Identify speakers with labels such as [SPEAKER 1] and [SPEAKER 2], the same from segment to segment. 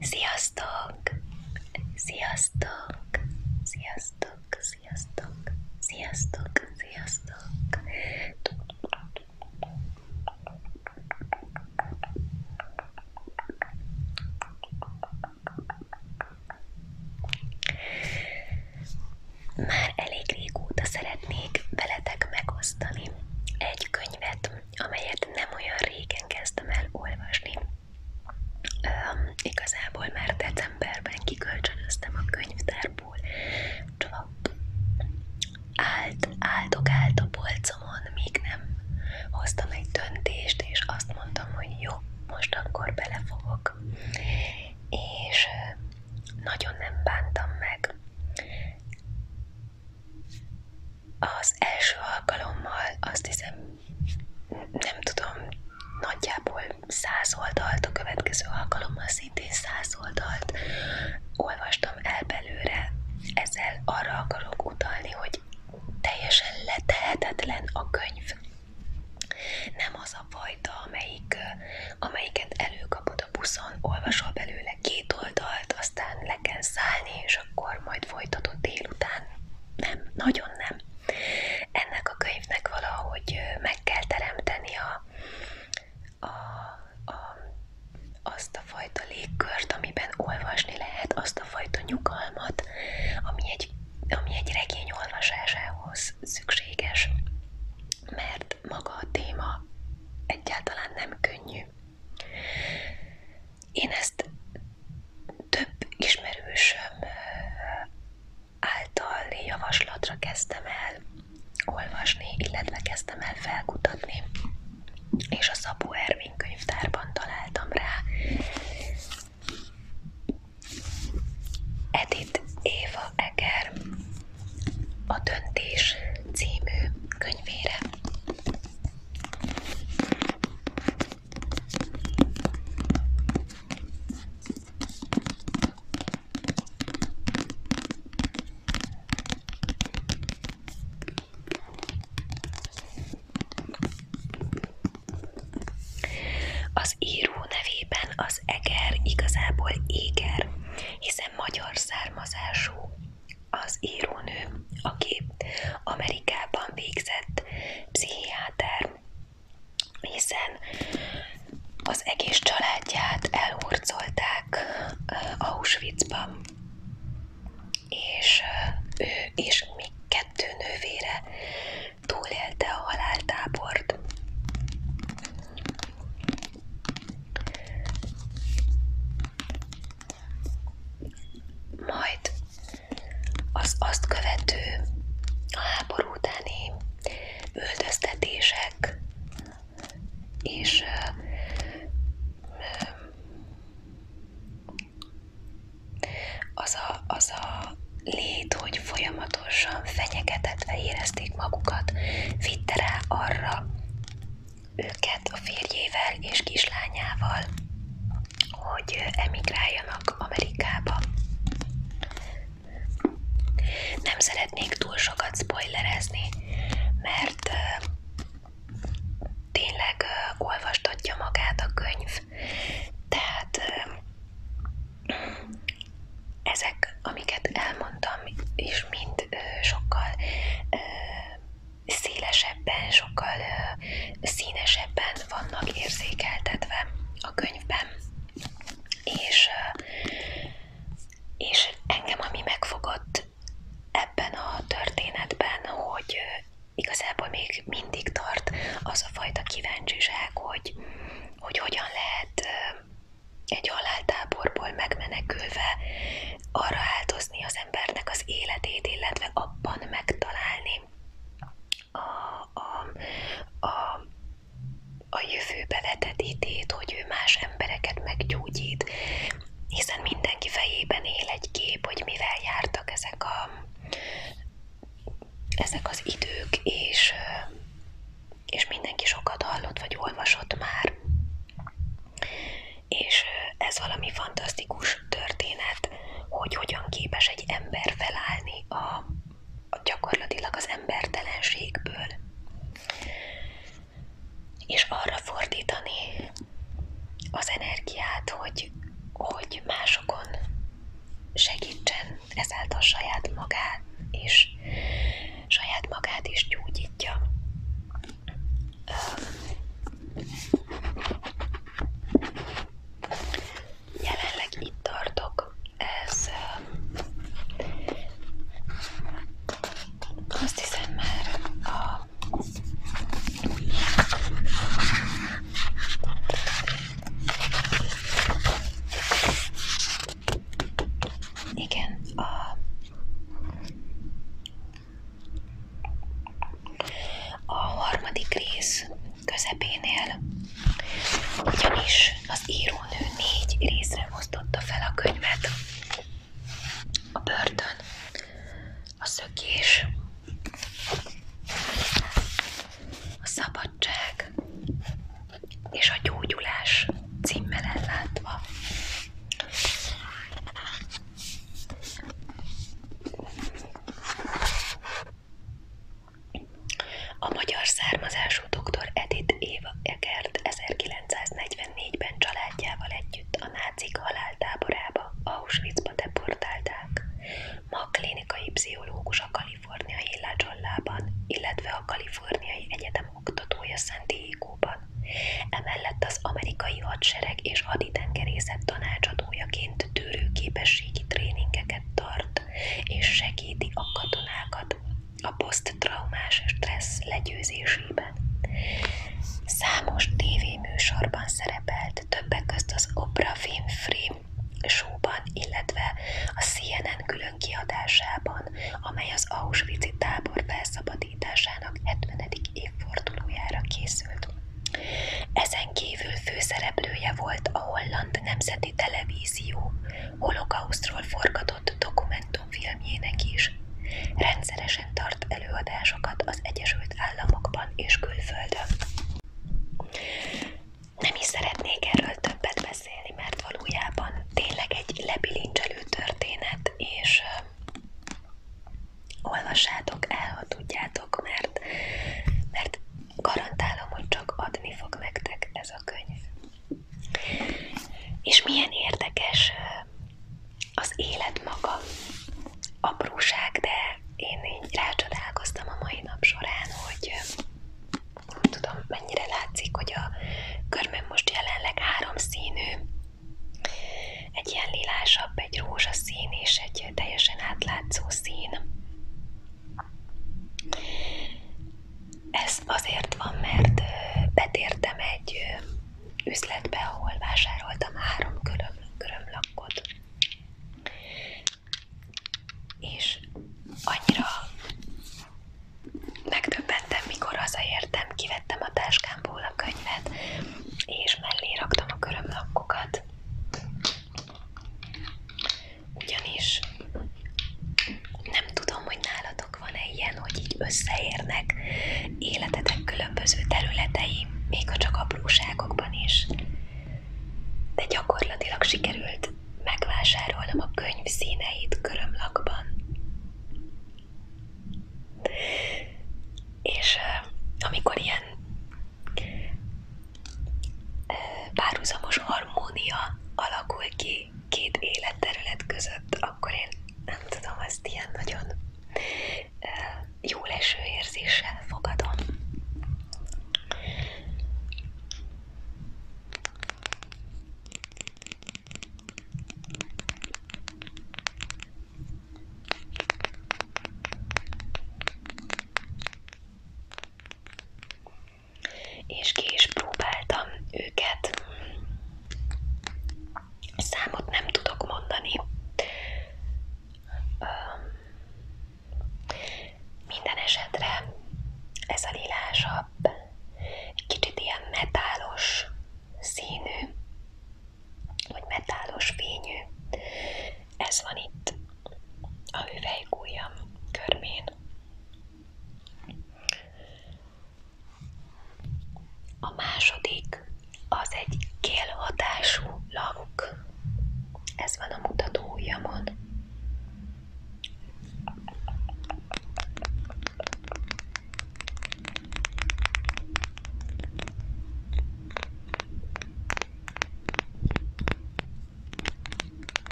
[SPEAKER 1] Sziasztok! Sziasztok! Sziasztok! Sziasztok! Sziasztok! Sziasztok! Már elég régóta szeretnék veletek megosztani egy könyvet, amelyet nem olyan régen kezdtem el olvasni. Öm, igazából már decemberben kikölcsönöztem a könyvtárból, csak állt, áldog állt a polcomon, míg nem hoztam egy döntést, és azt mondtam, hogy jó, most akkor belefogok. És nagyon nem bántam meg. Az első alkalommal azt hiszem, nem tudom, nagyjából száz oldalt, a következő alkalommal szintén száz oldalt olvastam el belőle. Ezzel arra akarok utalni, hogy teljesen letehetetlen a könyv. Nem az a fajta, amelyik, amelyiket előkapod a buszon, olvasol belőle két oldalt, aztán le kell szállni, és akkor majd folytatod délután. Nem, nagyon nem. Ennek a könyvnek valahogy meg kell teremteni a, a, a, azt a fajta légkört, amiben olvasni lehet, azt a fajta nyugalmat, ami egy, ami egy regény olvasásához szükséges, mert maga a téma egyáltalán nem könnyű. Én ezt több ismerősöm által javaslatra kezdtem el olvasni, illetve kezdtem el felkutatni, és a Szabó Ervin könyvtárban találtam rá. Edith Éva Eger a Döntés című könyvére. Az író nevében az eger igazából éger, hiszen egészen magyar származású az írónő, aki Amerikában végzett pszichiáter, hiszen az egész családját elhurcolták Auschwitzban, és ő és még kettő nővére túlélte a haláltábort. Majd az azt követő a háború utáni üldöztetések és ö, ö, az a, az a lét, hogy folyamatosan fenyegetetve érezték meg magukat, vitte rá arra őket a férjével és kislányával, hogy emigráljanak Amerikába. Nem szeretnék túl sokat spoilerezni, mert tényleg olvastatja magát a könyv, tehát ezek, amiket elmondtam, és mind ö, sokkal ö, szélesebben, sokkal ö, színesebben vannak érzékeltetve a könyvben. És, ö, és engem ami megfogott ebben a történetben, hogy ö, igazából még mindig tart az a fajta kíváncsiság, hogy, hogy hogyan lehet egy haláltáborból megmenekülve arra áldozni az embernek az életét, illetve abban megtalálni a, a, a, a jövőbe vetett hitét, hogy ő más embereket meggyógyít, hiszen mindenki fejében él egy kép, hogy mivel jártak ezek a ezek az idők, és és mindenki sokat hallott vagy olvasott már. És ez valami fantasztikus történet, hogy hogyan képes egy ember felállni a, a gyakorlatilag az embertelenségből, és arra fordítani az energiát, hogy, hogy másokon segítsen, ezáltal saját magát is, saját magát is gyógyítja. Jelenleg itt tartok, ez azt hiszem már a igen, a, a harmadik rész közepénél ugyanis az írónő négy részre osztotta fel a könyvet. A börtön, a szökés, a szabadság és a gyógyulás címmel ellátva. A magyar származású dr. Edith Éva Egert 1944-ben családjával együtt a nácik haláltáborába, Auschwitzba deportálták. Ma klinikai pszichológus a kaliforniai Lajollában, illetve a Kaliforniai Egyetem oktatója San Diego-ban. Emellett az amerikai hadsereg és haditengerészet tanácsadójaként tűrőképességi tréningeket tart, és segíti a katonákat a poszttraumás stressz legyőzésében. Számos tévéműsorban szerepelt, többek közt az Oprah Winfrey showban, illetve a CNN külön kiadásában, amely az Auschwitz tábor felszabadításának 70. évfordulójára készült. Ezen kívül főszereplője volt a Holland Nemzeti Televízió holokausztról forgatott dokumentumfilmjének is. Rendszeresen tart előadásokat az Egyesült Államokban és külföldön nem is szeretnék erről többet beszélni, mert valójában tényleg egy lebilincselő történet, és uh, olvassátok mert, mert garantálom, hogy csak adni fog nektek ez a könyv. És milyen érdekes az élet maga. Apróság, de én így rácsodálkoztam a mai nap során, hogy nem tudom, mennyire látszik, hogy a körmöm most jelenleg három színű, egy ilyen lilásabb, egy rózsaszín és egy teljesen átlátszó szín. Ez azért van, mert betértem egy üzletbe, ahol vásároltam három köröm, körömlakkot és annyira megtöbbentem, mikor hazaértem, kivettem a táskámból a könyvet, és mellé raktam a körömlakkokat. Ugyanis nem tudom, hogy nálatok van-e ilyen, hogy így összeérnek életetek különböző területei, még ha csak apróságokban is de gyakorlatilag sikerült megvásárolnom a könyv színeit körömlakban. És amikor ilyen párhuzamos harmónia alakul ki két életterület között, akkor én nem tudom, ezt ilyen nagyon jó leső érzéssel fogadom. És ki is próbáltam őket. Számot nem tudok mondani. Minden esetre ez a lilásabb, egy kicsit ilyen metálos színű, vagy metálos fényű. Ez van itt a hüvelykújjam körmén. A második az egy kélhatású lakk. Ez van a mutató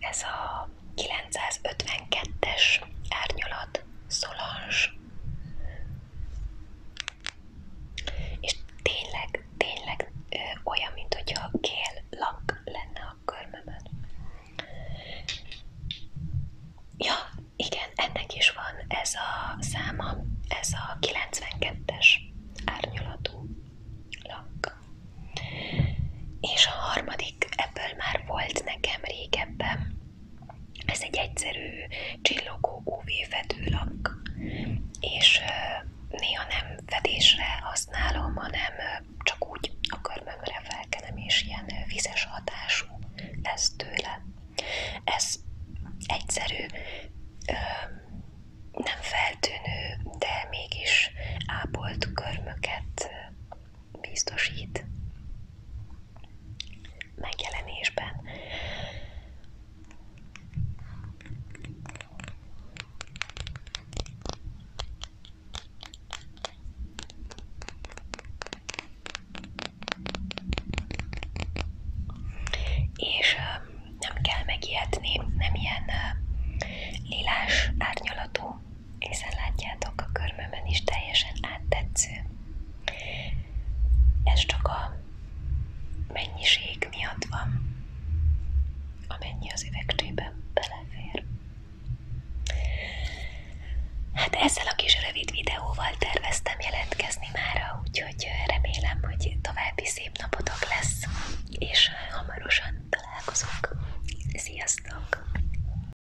[SPEAKER 1] Ez a 952-es árnyalat Solange és tényleg, tényleg ö, olyan, mint hogyha kél lak lenne a körmemen. Ja, igen, ennek is van ez a száma, ez a 92-es árnyalatú lak. És a harmadik, ebből már volt nekem régebben, ez egy egyszerű csillogó UV fedőlak, és néha nem fedésre használom, hanem csak úgy a körmömre felkenem, és ilyen vizes hatású lesz tőle. Ez egyszerű, nem feltűnő, de mégis ápolt körmöket biztosít megjelenésben. És nem kell megijedni, nem ilyen lilás árnyalatú hiszen látjátok a körmömön is teljesen áttetsző. Ez csak a mennyiség miatt van, amennyi az üvegcsébe belefér. Hát ezzel a kis rövid videóval terveztem jelentkezni mára, úgyhogy remélem, hogy további szép napotok lesz, és hamarosan találkozunk. Sziasztok!